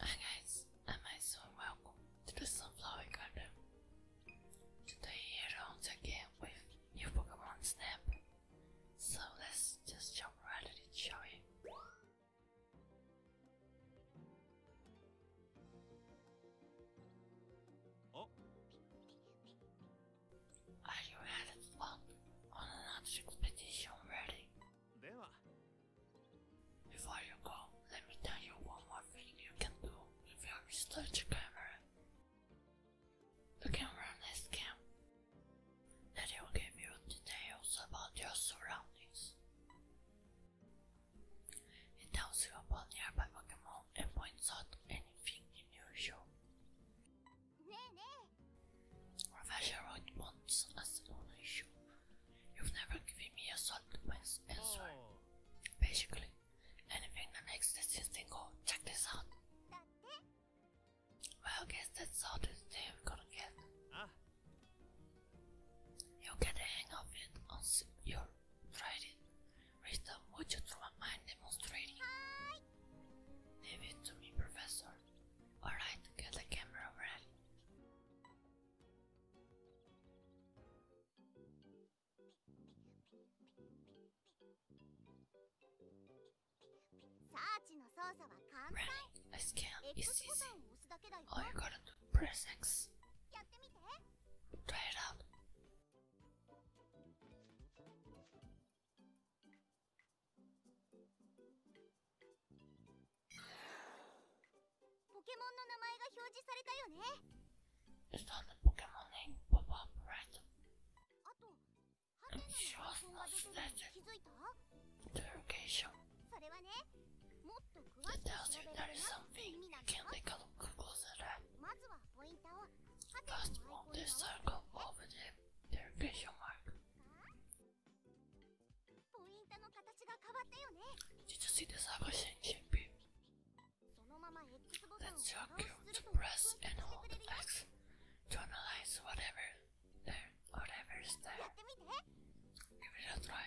Hi guys, and my soul welcome to the Sunflower Garden. Today here once again with new Pokemon Snap. So let's just jump right into shall we? Are you headed on, on an expedition ready? Before you go, let me tell you one more thing you can do with your research camera. The camera nest cam that will give you details about your surroundings. It tells you about nearby Pokemon and points out anything unusual. Professional points as an issue You've never given me a solid answer. Basically, anything that makes this thing go, oh, check this out. Well, guess that's all this day I'm gonna get. Ah. You'll get the hang of it once you're tried it. Wisdom, would you through my mind demonstrating? Hi. it to me, Professor. Alright, get the camera ready. Right, let's count. It's easy. All you gotta do press X. Try it out. ポケモンの名前が表示されたよねあと、ハテナのが出てる気づいた t h それはね、もっと詳しくまずはポイントをハテナのアイコンにポイントの形が変わったよね Did you see this ever changing beam? That's your press and hold X whatever there, whatever is there. Give it a try.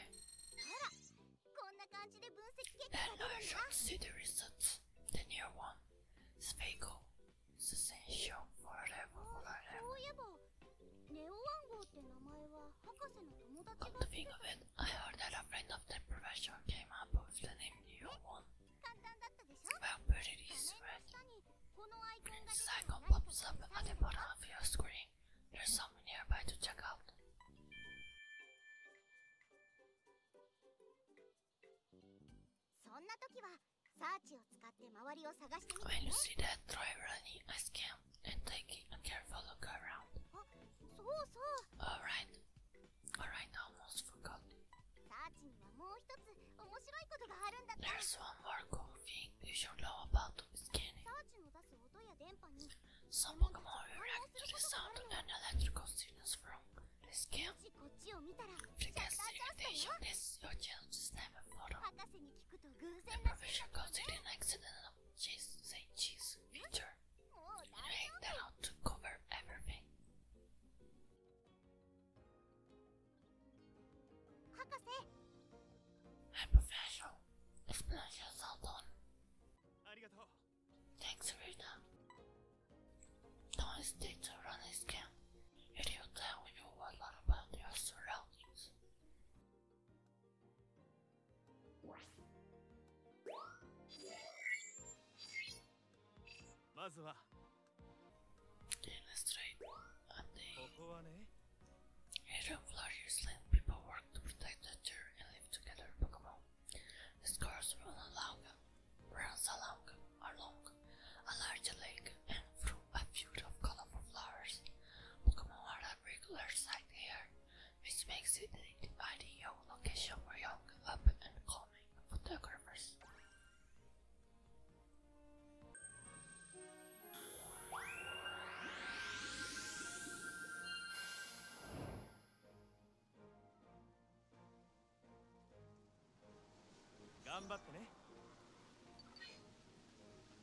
Then I shall see the results. The new one, Spago, is essential for level for level. ネオ暗号って名前は Come to think of it, I heard that a friend of the professor came up with the name New One. Well, put it is red. This icon pops up at the bottom of your screen. There's someone nearby to check out. When you see that, try running as can and taking a careful look around. Alright, alright, I almost forgot. There's one more cool thing you should know about scanning. Some Pokemon react to the sound and electrical signals from the scan. Frequency limitation is your chance to snap The profession goes in an accident Cheese, say cheese, Victor. Anyway, that ought to cover everything. I'm professional. Explanation all done. Thanks, Rita. Don't hesitate to run this game. It tell you a lot about your surroundings. まずは okay, let's try and they Adam Florius let people work to protect nature and live together Pokemon. The scars run along, runs along, along a large lake and through a field of colorful flowers. Pokemon are regular site here, which makes it an ideal location for young, up and coming photographers.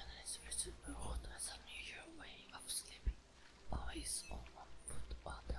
And it's visible road has an unusual way of sleeping, always on one foot or the other.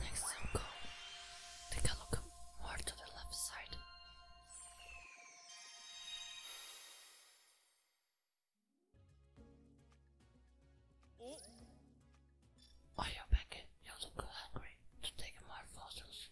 Next go. Take a look more to the left side. Oh. Why you back? You look hungry to take more photos.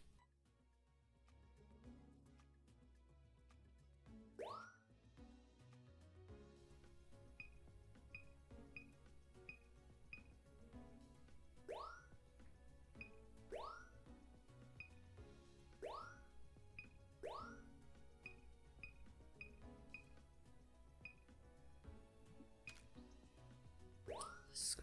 This is great.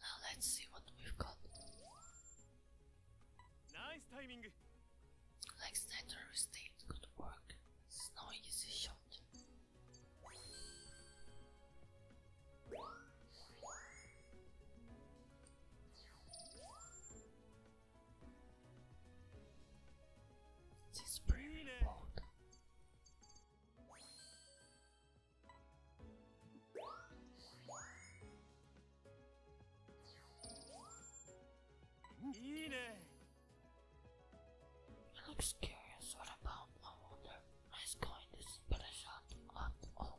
Now let's see what we've got. Nice timing. Next enter state could work. It's no easy shot. This is pretty bold. It looks what about, I wonder, let's go in this impression at all.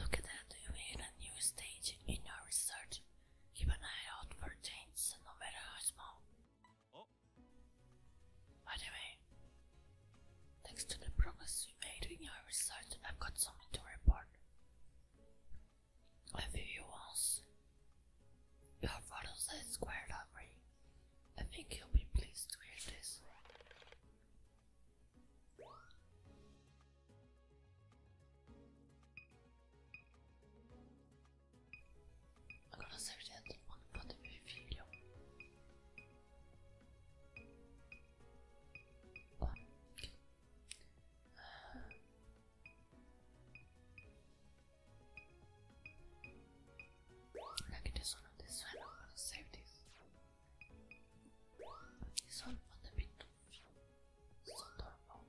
Look at that, you hit a new stage in your research. Keep an eye out for changes, no matter how small. By the way, thanks to the progress you made in our research, I've got something to report. A few once. Your photos are squared up, I think you'll be pleased to hear this. Bon. Now this one this one. I'm this. This on the bit so adorable.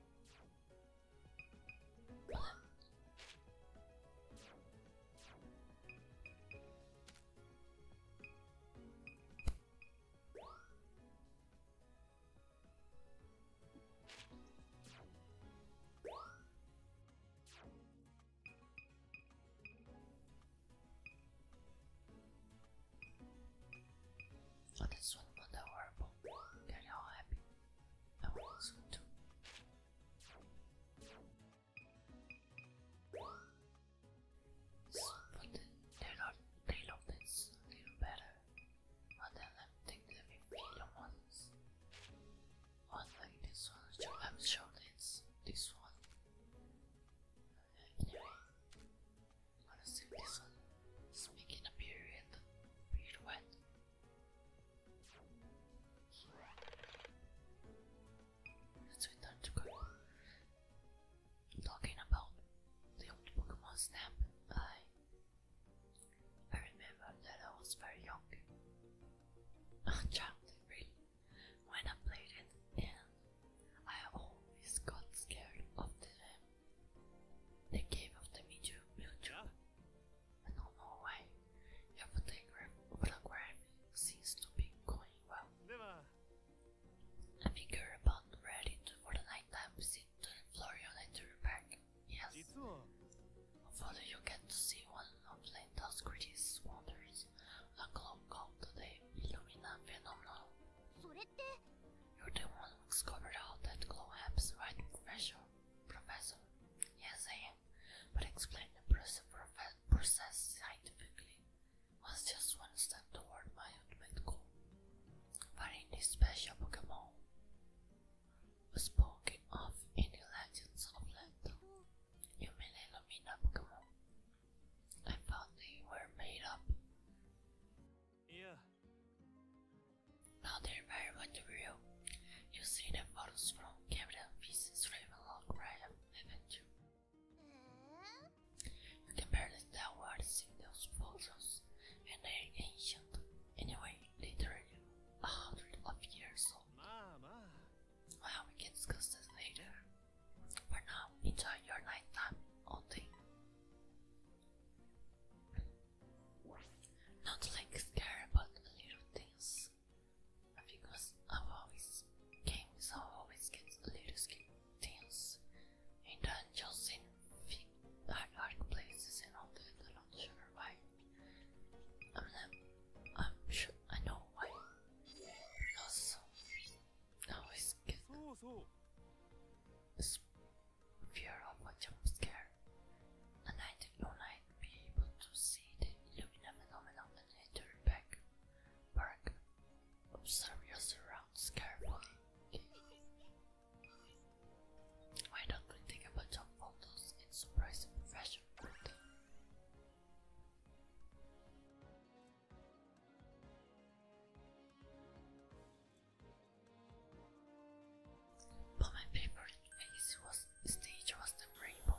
Oh, this one was horrible. they all happy. I want this one too. So put the tail, tail this a little better and then I'm taking the 50 ones. Unlike this one, I'm sure it's this one. Anyway, i this one. It's making a period that's what time to go. Talking about the old Pokemon Snap, I I remember that I was very young. A child, really, when I played it, and I always got scared of the um, the game of the Mewtwo, I don't know why. Your photograph, photograph seems to be going well. A figure upon Reddit for the nighttime visit to the Florian Nature Park. Yes. Hopefully you get to see one of Linda's greatest wonders, a globe called the Illumina Phenomenon. You're the one who discovered how that glow happens, right, Professor? Professor? Yes, I am but explained the process scientifically was just one step toward my ultimate goal. Finding this special Pokemon spoken of in the Legends of Land. You mean Pokemon? I thought they were made up. Yeah. Now they're very much real. You see the photos from Captain Pieces Ravenlock Ryan Adventure. The birds that were in those photos and they're ancient. Anyway, literally a hundred of years old. Well, we can discuss this later. For now, enjoy your nighttime only. Not like scary, but little things because I've always games always get a little skin tense in dungeons in dark, places and I'm not sure why. I'm not, I'm sure I know why. I always get this fear of a jump scare, and I did not I'd be able to see the Illumina phenomenon and I turned back Park. Observe your surroundings carefully. Why don't we take a bunch in surprise and professional But my favorite place was stage was the rainbow.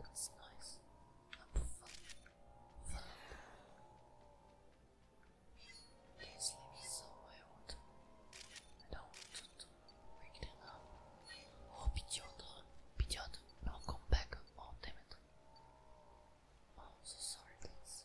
That's nice. I'm fun. Fun. He's living somewhere out. I don't want to wake them up. Oh, Pidgeot, Pidgeot, now come back. Oh, damn it. Oh, I'm so sorry, guys.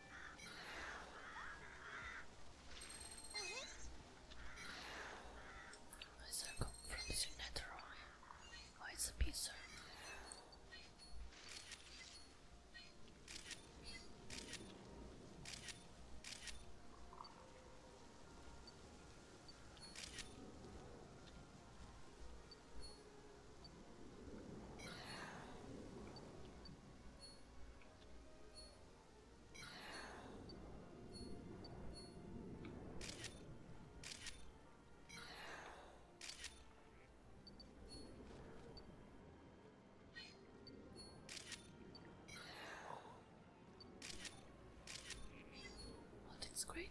A circle from the signature Oh, it's a pizza. Well, that's great.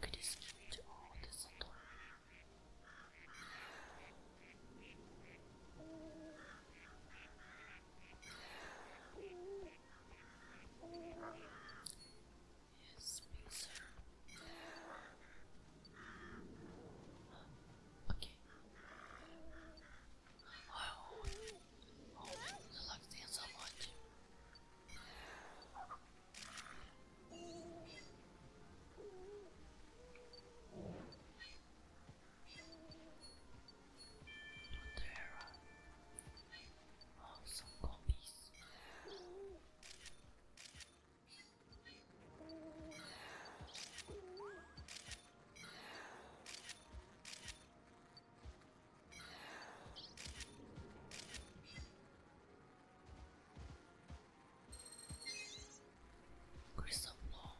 Could you skip to all this and all? Yes, me too. Okay. Oh, I like so much. There. Oh, some copies. Crystal Ball.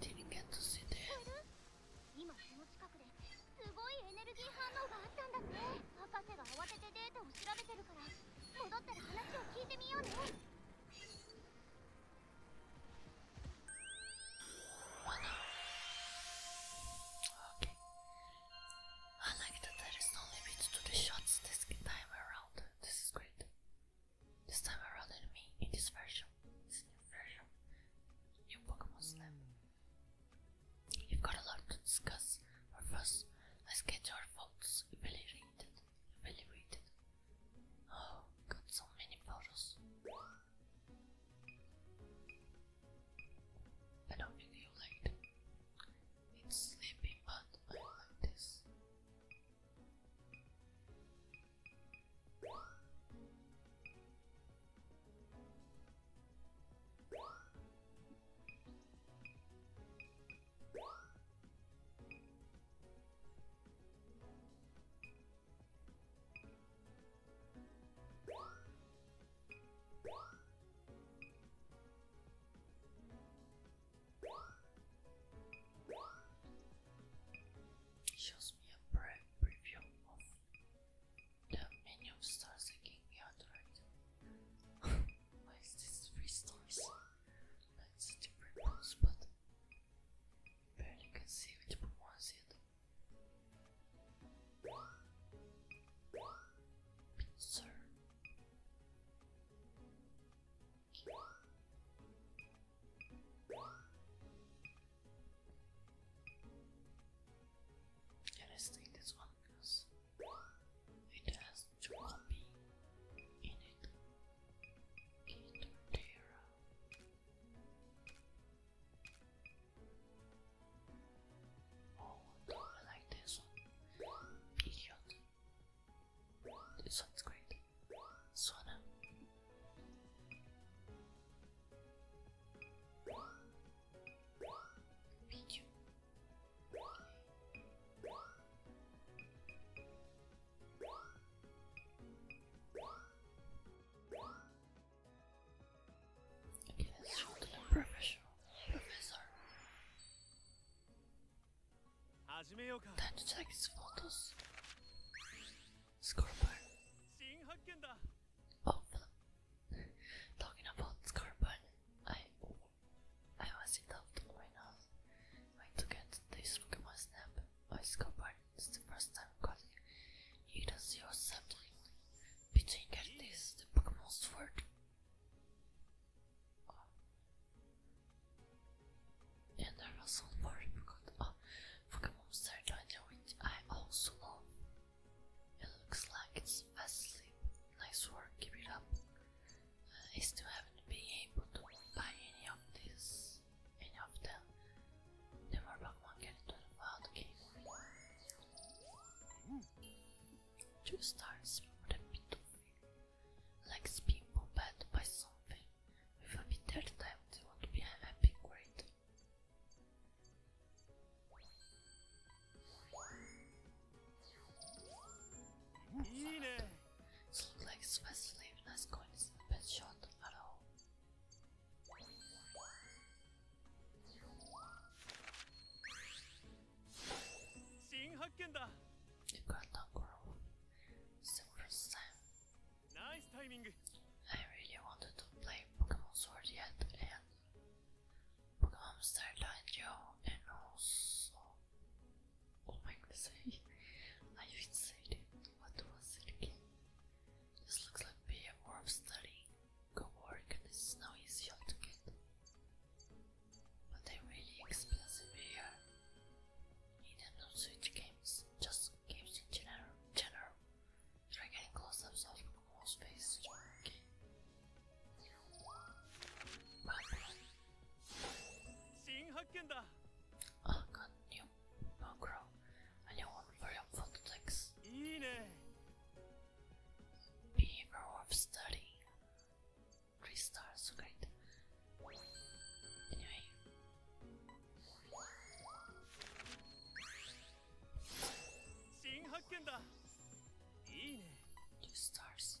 Didn't get to see that. すごいエネルギー反応があったんだって博士が慌ててデータを調べてるから戻ったら話を聞いてみようね Okay. I like that there is no limit to the shots this time around. This is great. This time around, in in this version, this new version, new Pokemon Snap we have got a lot to discuss, but first, let's get our votes evaluated. evaluated. Oh, got so many photos. I don't really like them. It's sleepy, but I like this. Shows me a pre preview of the menu starts stores again be authorized. Why is this three stores? That's a different rules, but barely can see which one was it. Pizza. Yeah, let's this one it has to be in it. It's Terra. Oh, I like this one. Idiot. This one's great. Sona. Video. Yes, you're a professional professor. Time to take his photos. Scorpion. Oh, talking about Scorpion, I I was in doubt right now. I took out this Pokemon Snap. I discovered it's the first time calling it a zero subject. Between getting this, the Pokemon Sword. Oh. And I was on board because uh, oh, Pokemon Sword, which I also love. It looks like it's fast asleep. Nice work, keep it up. Uh, I still haven't been able to buy any of these, any of them. The more Pokemon get into the wild game. Two stars for the Pitofi. Likes people bad by something. We will be there the time they want to be happy, great. So like Swiss sleep, nice coin is the best shot at all. You got that girl. Nice timing. I really wanted to play Pokemon Sword yet Och Amsterdam ja, and also... What oh am I gonna say? I even said it. What was it again? This looks like be a war of studying. Go work and this is no easy to get. But they're really expensive here. Nintendo Switch games, just games in general, general. They're getting close-ups of Pokémon Space Jockey. 아, 갓뉴 마크로 안녕 오늘 very helpful thanks Beaver of study 3 stars, great anyway New stars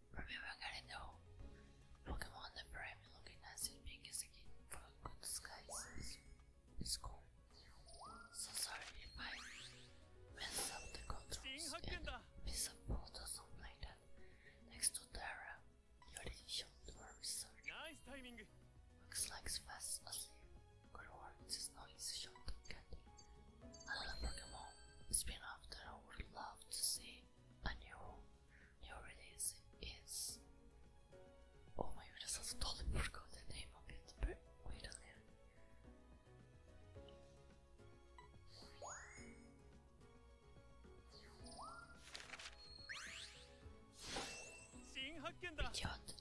Remember Galindo, Pokemon the Prime looking as it big as for good skies in So sorry if I messed up the controls and piece of photos on like that. Next to Tara, you already showed Nice timing! Looks like fast asleep. Good work, this noise shot candy. Another Pokemon spin off that I would love to see. A new your Oh my goodness, I totally forgot the name of it. But wait a minute. Idiot.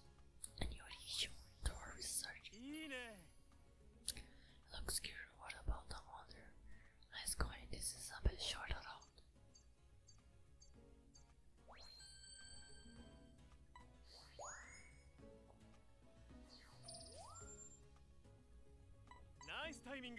And your issue to our research. Looks good. What about the mother? Let's go. This is a bit shorter though. Nice timing.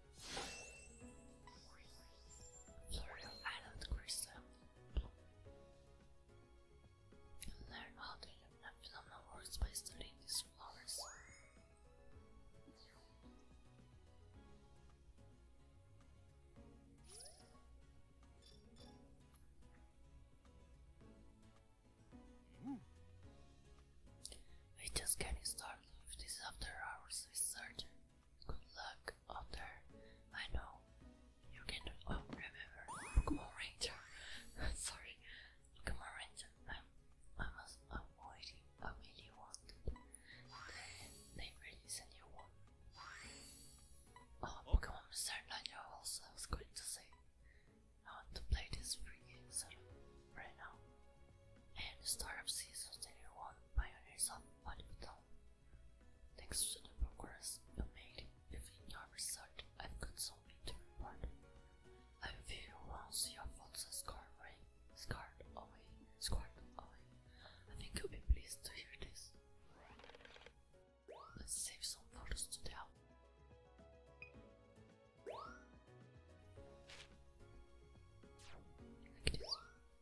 Floral Island Crystal. Learn how to use a by studying these flowers. We just getting started with this after hours research. Good luck out there. I know you can. Oh, remember Pokemon Ranger. Sorry, Pokemon Ranger. I, I was avoiding. I really wanted. Then they release a new one. Oh, Pokemon Mr. Ninja also. I was going to say. I want to play this free game sort of right now. And the start of season 31 Pioneers of Bodybuilding. Thanks to the progress you made in your research, I've got something to report. I feel once your thoughts are scarred away, scarred away, scarred away. I think you'll be pleased to hear this. Let's save some photos to tell.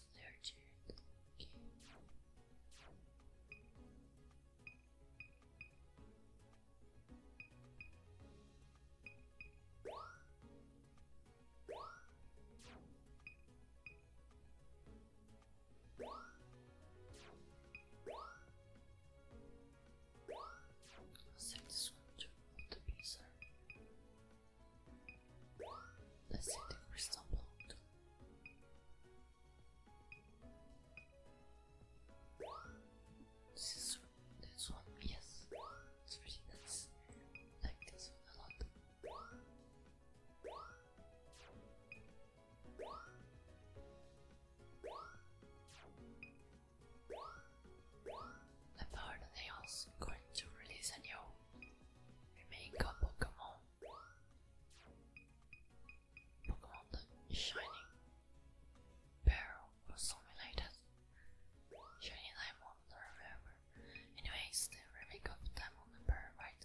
was nurtured this one to the pizza. Let's see the crystal block. This is this one, yes. It's pretty nice. Like this one a lot. About nails going to release a new remake couple come on Pokemon the Shining Barrel or something like that. Shining Diamond, I remember. Anyways, the remake of Diamond and Pearl, right?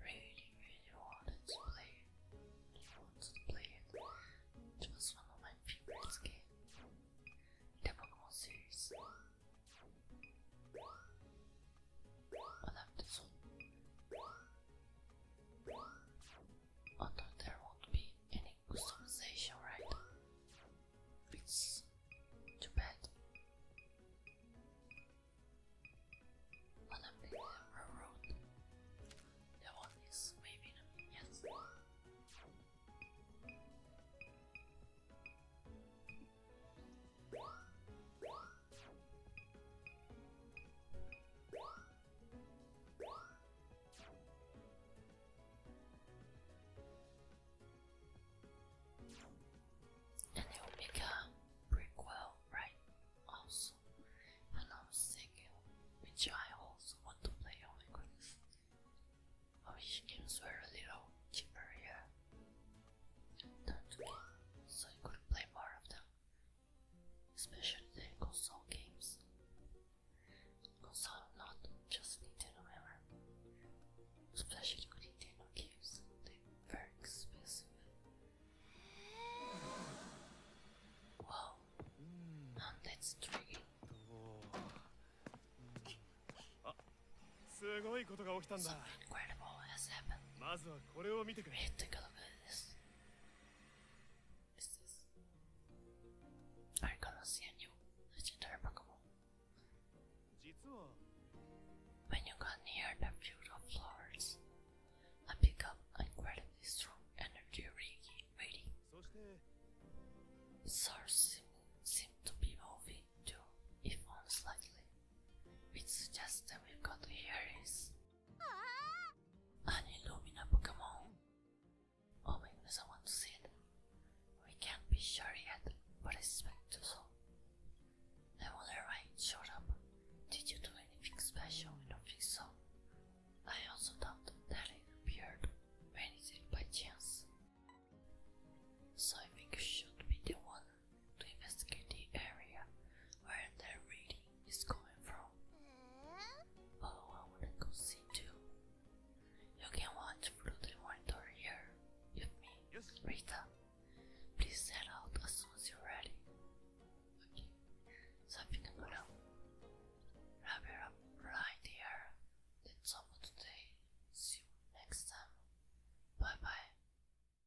really, really wanted to play it. Really wanted to play it. It one of my favorite games the Pokemon series i love have this one. Although there won't be any customization, right? It's too bad. Wanna the railroad? That one is waving, yes. And it will right? Also, and I was thinking, which I also want to play. Oh my goodness, I wish a little cheaper that's so you could play more of them, especially the console games. Console, not just Nintendo, ever. Especially with Nintendo games, they're very expensive. Wow, that's tricky. あ、すごいことが起きたんだ。Something ah, まずはこれを見てくれ。Take I going see a new legendary When you got near the beautiful flowers, I pick up incredibly strong energy reading. Stars seem, to be moving too, if on slightly. It's just that we've got Aries, an Illumina Pokemon. Oh my goodness, I want to see it. We can't be sure yet, but it's expect to I wonder why it showed up. Did you do anything special? I don't think so. I also thought that it appeared when it by chance. So I think you should be the one to investigate the area where that reading is coming from. Oh, I wanna go see too. You can watch through the monitor here with me, Rita. Please set out as soon as you're ready. Okay, so I wrap it up right here. That's all for today. See you next time. Bye bye.